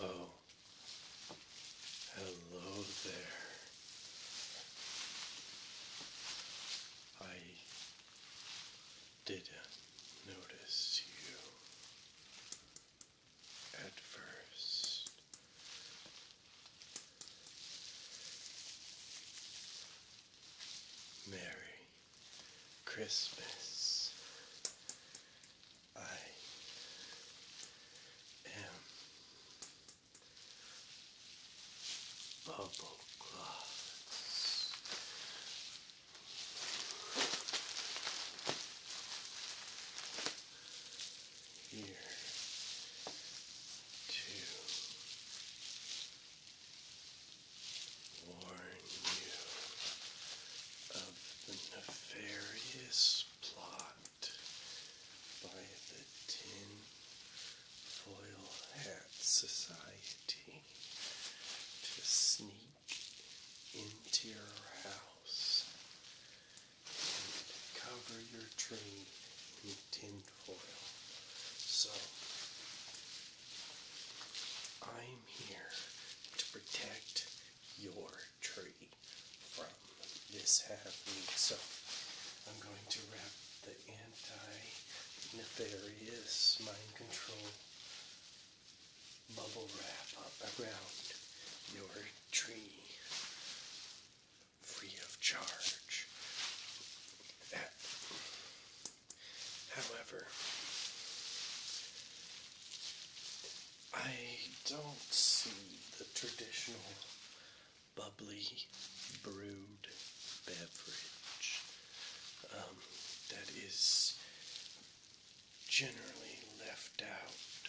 Oh, hello there. I didn't notice you at first. Merry Christmas. I am Bubble here. To warn you of the nefarious plot by the Tin Foil Hat Society to sneak into your house cover your tree in tinfoil. So, I'm here to protect your tree from this happening. So, I'm going to wrap the anti-nefarious mind control bubble wrap up around your tree free of charge. However, I don't see the traditional bubbly brewed beverage um, that is generally left out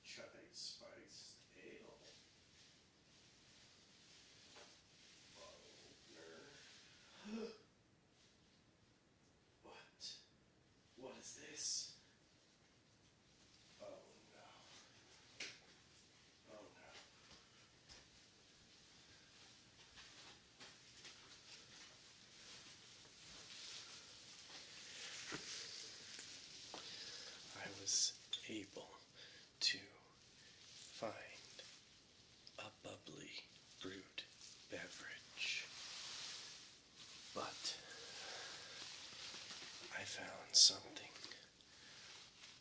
Chatting Spice Ale. what? What is this? Oh no. Oh no. I was able to find a bubbly brewed beverage, but I found something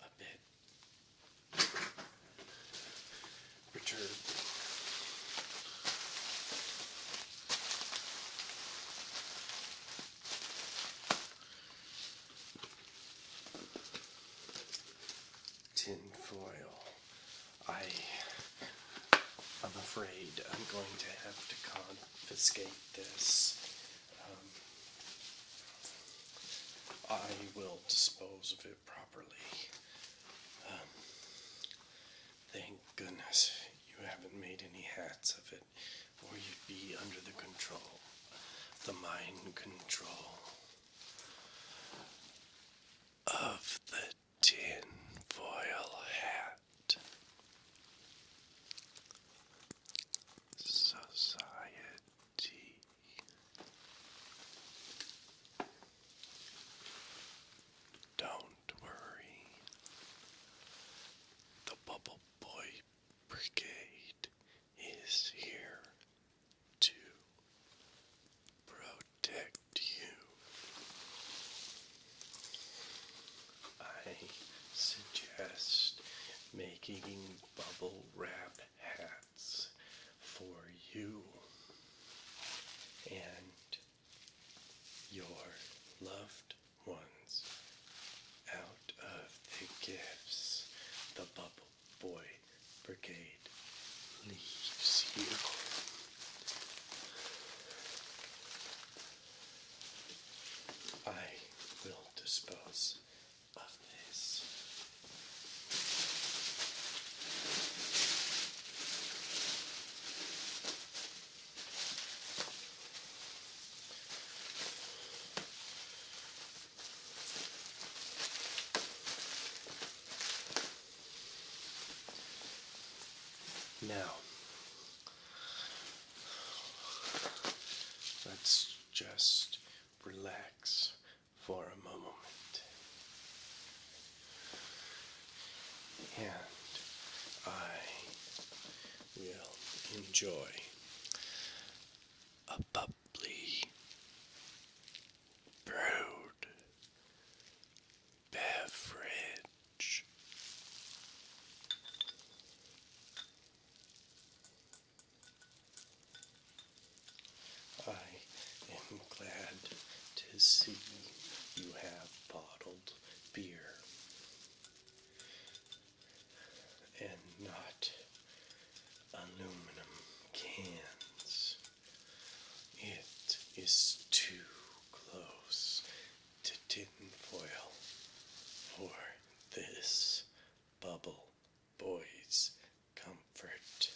a bit perturbed. Tin foil. I, am afraid I'm going to have to confiscate this. Um, I will dispose of it properly. Um, thank goodness you haven't made any hats of it or you'd be under the control, the mind control of the tin foil hat. Society. Don't worry. The bubble Cowboy Brigade is here to protect you. I suggest making bubble wrap hats for you and your loved ones out of the gifts. The Bubble Boy Brigade leaves you. I will dispose of this. Now, let's just relax for a moment. And I we will enjoy a bubbly brewed beverage. I am glad to see you have bottled beer and not aluminum cans. It is too close to tin foil for this bubble boy's comfort.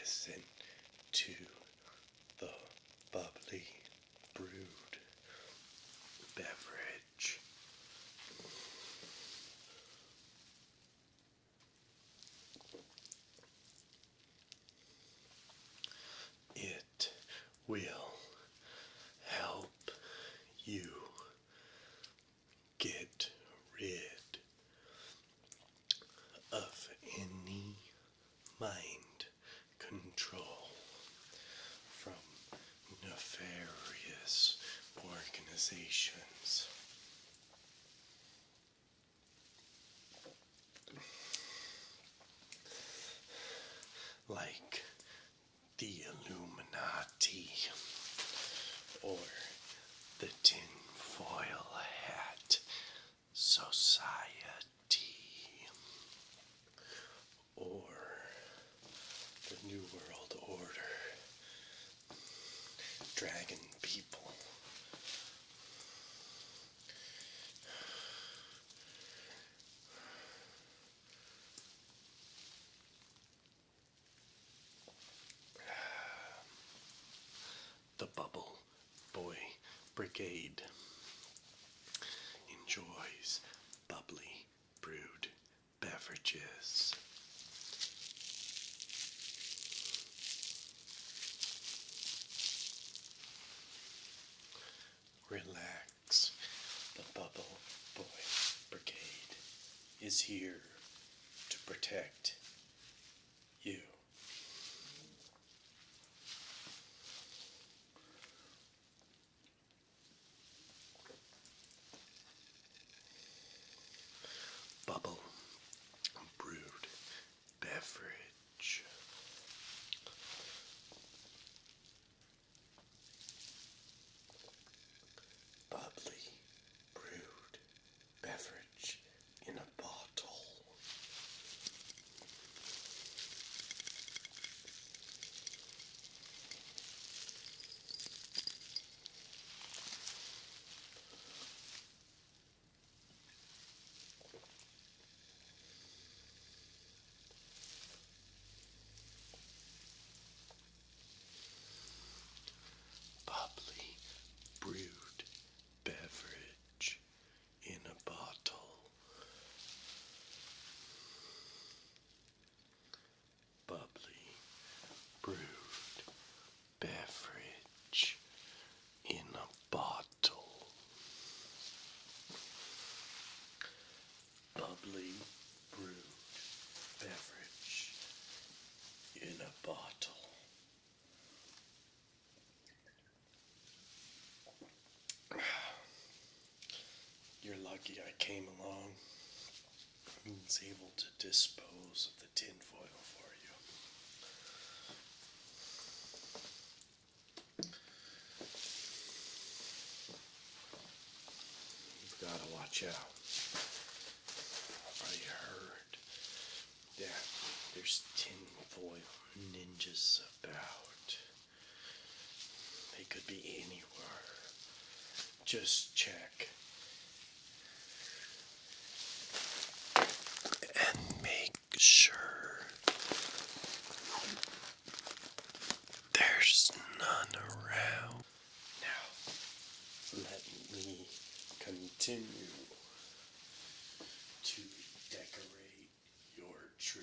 Listen to the bubbly brewed beverage. It will help you get rid of any mind control from nefarious organizations. Like the Illuminati or the Tin Foil Hat Society or the New World Order, Dragon People. The Bubble Boy Brigade enjoys bubbly brewed beverages. Relax, the Bubble Boy Brigade is here to protect you. Bubble brewed beverage. Bubbly brewed beverage in a bottle. Bubbly brewed beverage in a bottle bubbly brewed beverage in a bottle. Bubbly brewed beverage in a bottle. You're lucky I came along. Green's able to dispose of the tinfoil for you. You've got to watch out. I heard that there's tinfoil ninjas about. They could be anywhere just check and make sure there's none around. Now, let me continue to decorate your tree.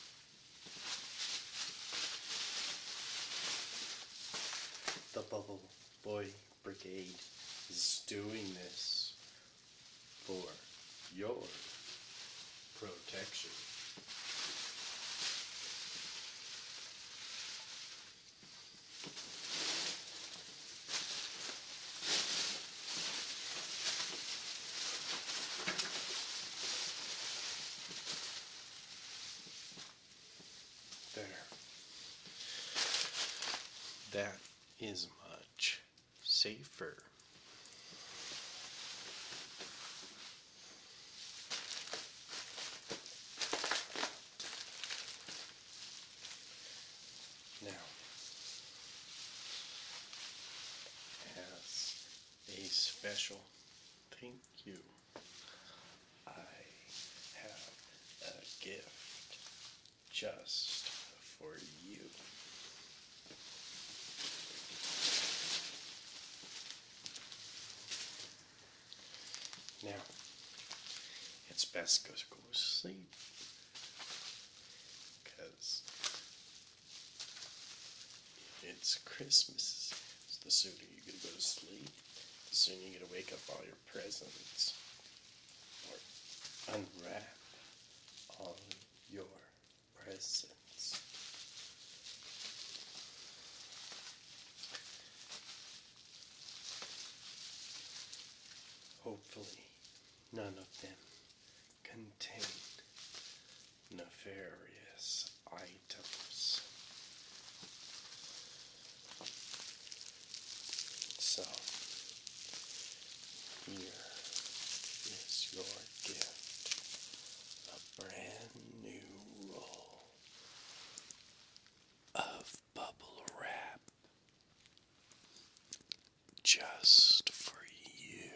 The Bubble Boy Brigade is doing this for your protection. There. That is much safer. Now, as a special thank you. I have a gift just for you. Now, it's best to go to sleep because it's Christmas. the sooner you're going to go to sleep, the sooner you're going to wake up all your presents unwrap all your presents. Hopefully, none of them contained nefarious items. So, here is your gift a brand new roll of bubble wrap just for you.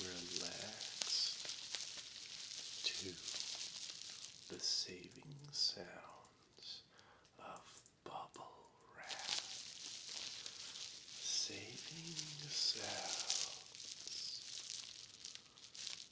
Relax to the saving sounds of bubble wrap. Saving sounds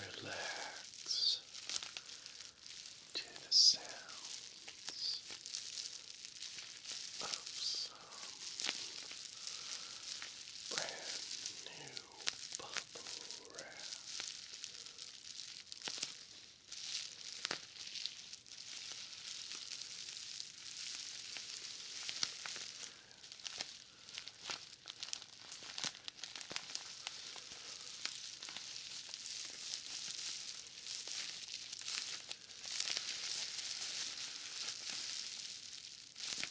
Relax to the sounds of some brand new bubble wrap.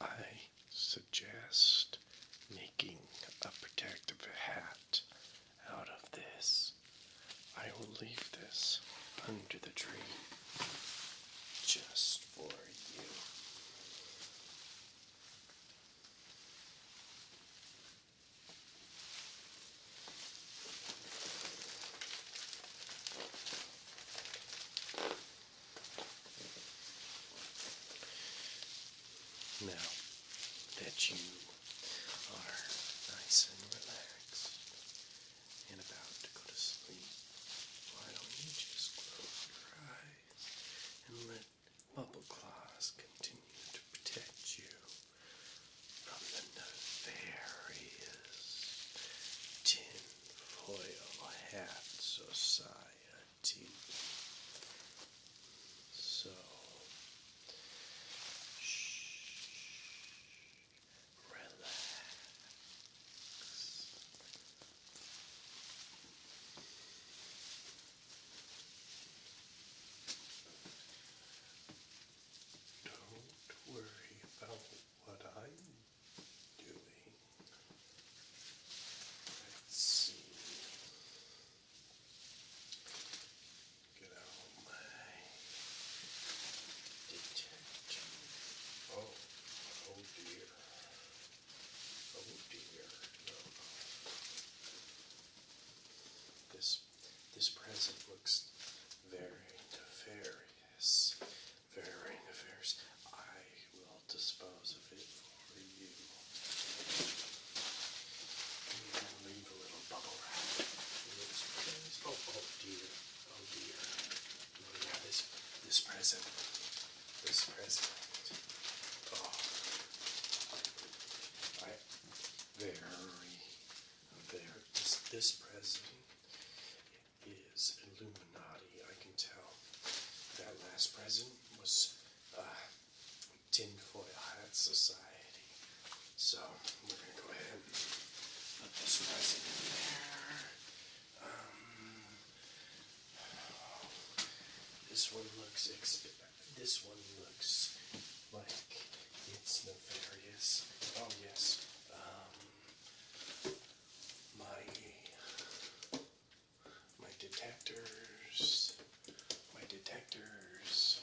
I suggest making a protective hat out of this. I will leave this under the tree just for you. Now that you are nice and relaxed and about to go to sleep, why don't you just close your eyes and let bubble claws continue to protect you from the nefarious tin Foil Hat Society. So, shh, relax. Don't worry about what I Let's see. Get out my detergent. Oh, oh dear. Oh dear. This this present looks very nefarious varying affairs. I will dispose of it for you. leave a little bubble wrap oh, oh, dear, oh dear. Oh yeah, this, this present, this present. Oh, very, very, this, this present is Illuminati, I can tell. That last present was uh, Tinfoil Hat Society. So we're going to go ahead and put this present in there. Um, this one looks this one looks like it's nefarious. Oh yes. Um, my my detectors, my detectors.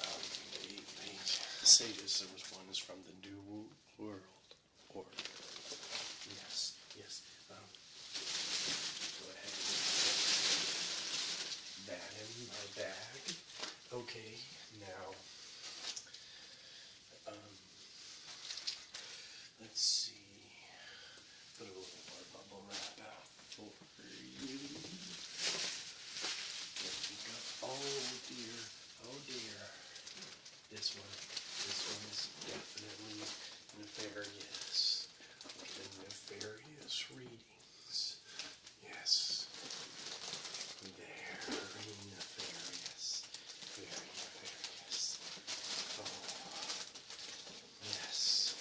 Um, they, they there was one is from the New World Order. Yes, yes. Um, go ahead. That in my bag. Okay, now. Um, Let's see. Oh dear. Oh dear. This one. This one is definitely nefarious. nefarious readings. Yes. Very nefarious. Very nefarious. Oh, yes.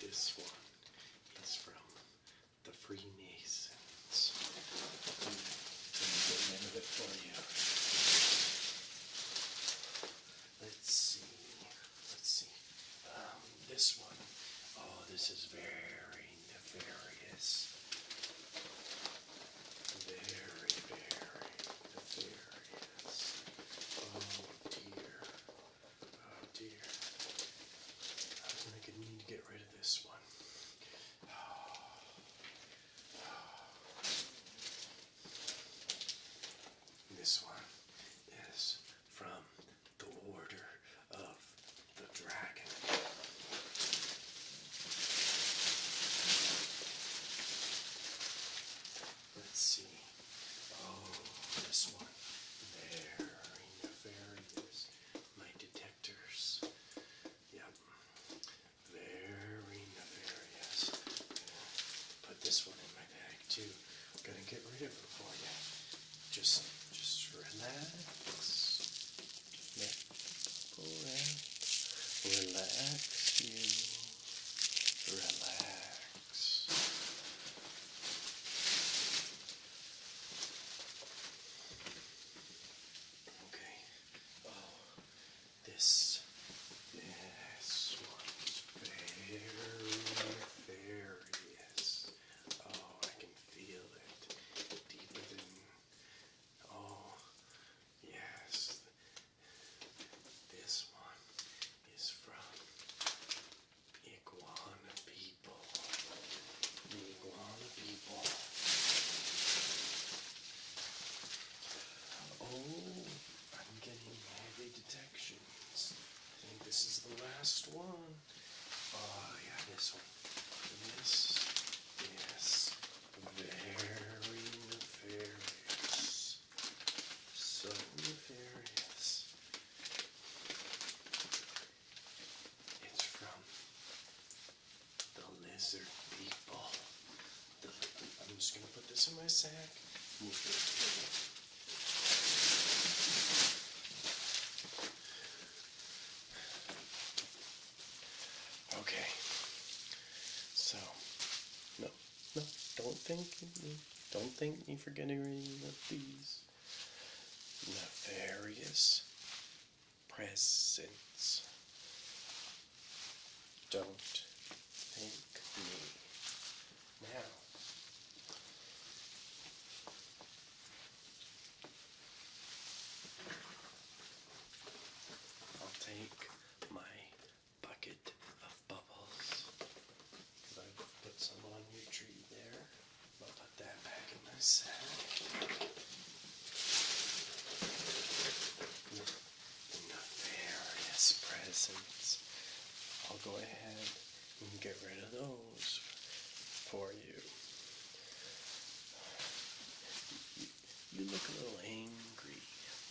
This one is from the Freemasons. Let me get rid of it for you. Let's see. Let's see. Um, this one. Oh, this is very nefarious very, very nefarious. dear. Oh dear. I was going to need to get rid of this one. This one is from the Order of the Dragon. Let's see. Oh, this one. There. There it is. My detectors. Yep. Very nefarious. Put this one in my bag too. I'm gonna get rid of it for you. Just, just relax. Let Relax you. Relax. Okay. Oh, this this one's very various. Oh, I can feel it deeper than. Oh, yes. This one is from Iguana People. Iguana People. Oh, I'm getting heavy detections. I think this is the last one. Oh, yeah, this one. And Yes. The very nefarious. So nefarious. It's from the lizard people. I'm just gonna put this in my sack. Okay. So, no, no, don't think, me. Don't thank me for getting rid of these nefarious presents. Don't think me now. I'll take my bucket of bubbles. I put some on your tree there. I'll put that back in the sack. The nefarious presents. I'll go ahead and get rid of those for you. You look a little angry.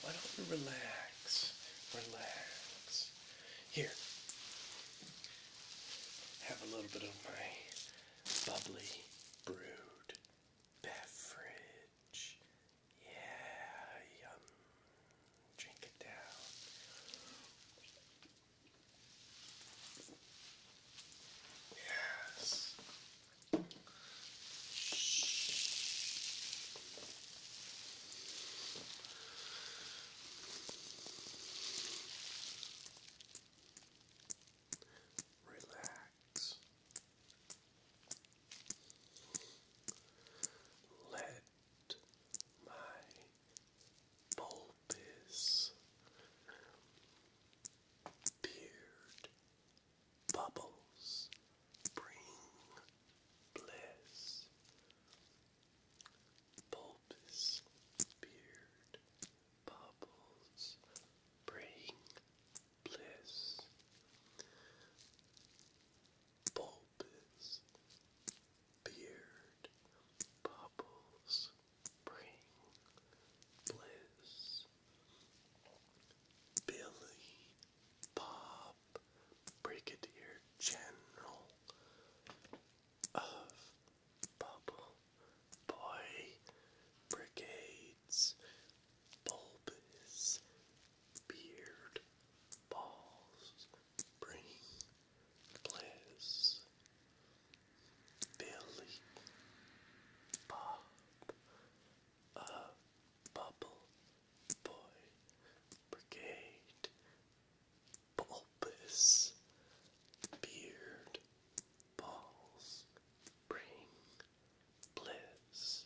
Why don't you relax? Relax. Here. Have a little bit of my bubbly brewed beverage. Yeah, yum. Drink it down. Yes. Relax. Let my bulbous beard Bubbles bring bliss. Bulbous beard bubbles bring bliss. Bulbous beard bubbles bring bliss. Billy Bob Brigadier General of Bubble Boy Brigades Bulbous Beard Balls Bring Bliss Billy Bob of Bubble Boy Brigade Bulbous Beard Balls Bring Bliss